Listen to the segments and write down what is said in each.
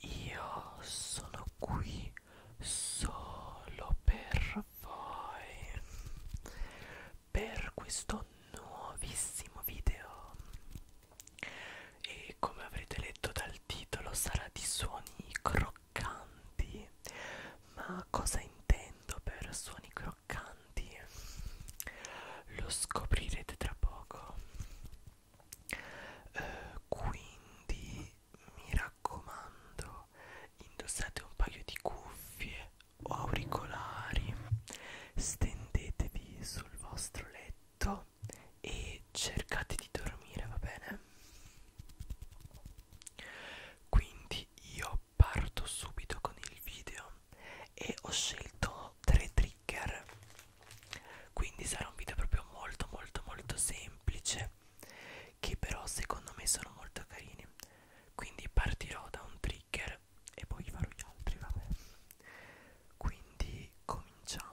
io sono qui solo per voi per questo nuovissimo video e come avrete letto dal titolo sarà di suoni croccanti ma cosa intendo per suoni croccanti lo scoprirete tra poco eh, quindi mi raccomando indossate un paio di cuffie o auricolari stendetevi sul vostro letto e cercate di dormire va bene quindi io parto subito con il video e ho scelto sono tre trigger quindi sarà un video proprio molto molto molto semplice che però secondo me sono molto carini quindi partirò da un trigger e poi farò gli altri vabbè quindi cominciamo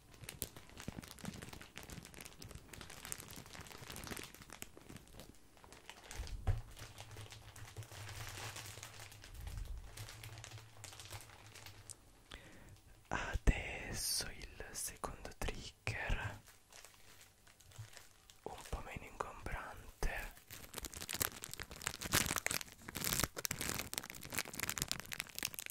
Adesso il secondo trigger un po' meno ingombrante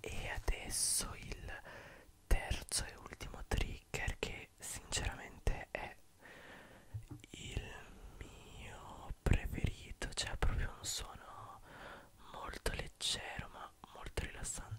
e adesso il terzo e ultimo trigger che sinceramente è il mio preferito cioè proprio un suono molto leggero ma molto rilassante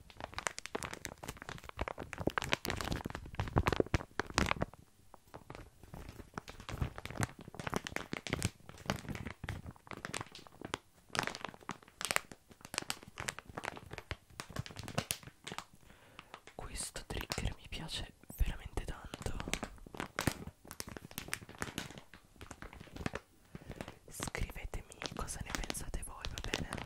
Questo trigger mi piace veramente tanto scrivetemi cosa ne pensate voi va bene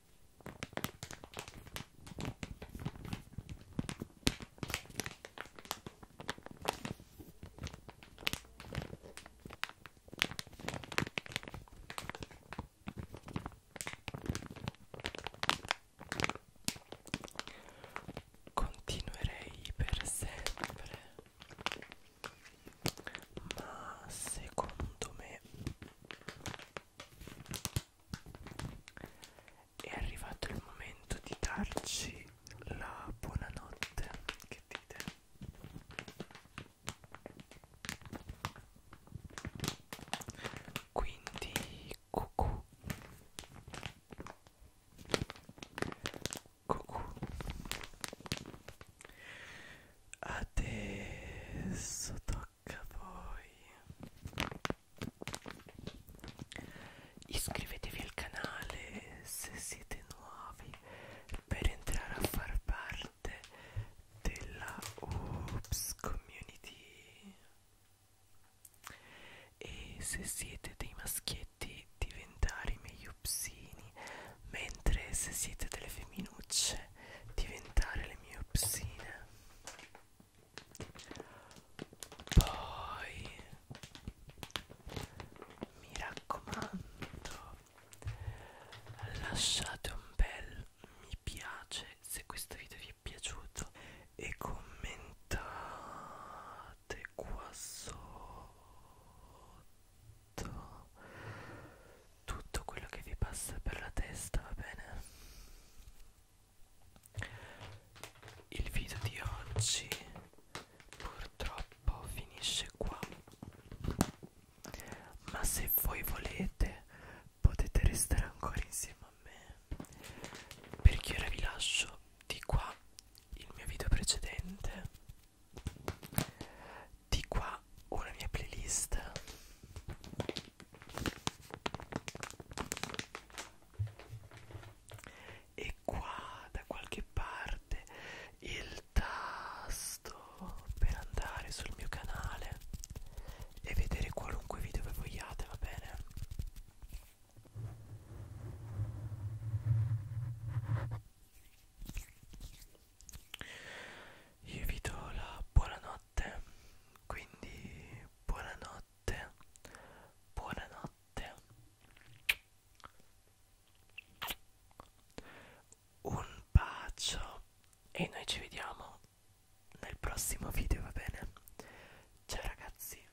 Continuerei per sempre, ma secondo me è arrivato il momento di darci la buonanotte. Che dite? Quindi cucù. Cucù. Adesso tocca H poi iscrivetevi al canale se siete nuovi per entrare a far parte della Oops Community e se siete dei maschietti diventare i miei upsini mentre se siete delle femminucce diventare le mie upsine poi mi raccomando, lasciate un bel mi piace se questo video vi è piaciuto e commentate qua sotto tutto quello che vi passa per la testa, va bene? Il video di oggi purtroppo finisce qua. Ma se voi volete potete restare ancora insieme a me. Perché ora vi lascio di qua il mio video precedente. Di qua ma ho la mia playlist e qua da qualche parte il tasto per andare sul mio canale e vedere qualunque video che vogliate va bene io vi do la buonanotte quindi buonanotte buonanotte un bacio e noi ci vediamo nel prossimo video va bene ciao ragazzi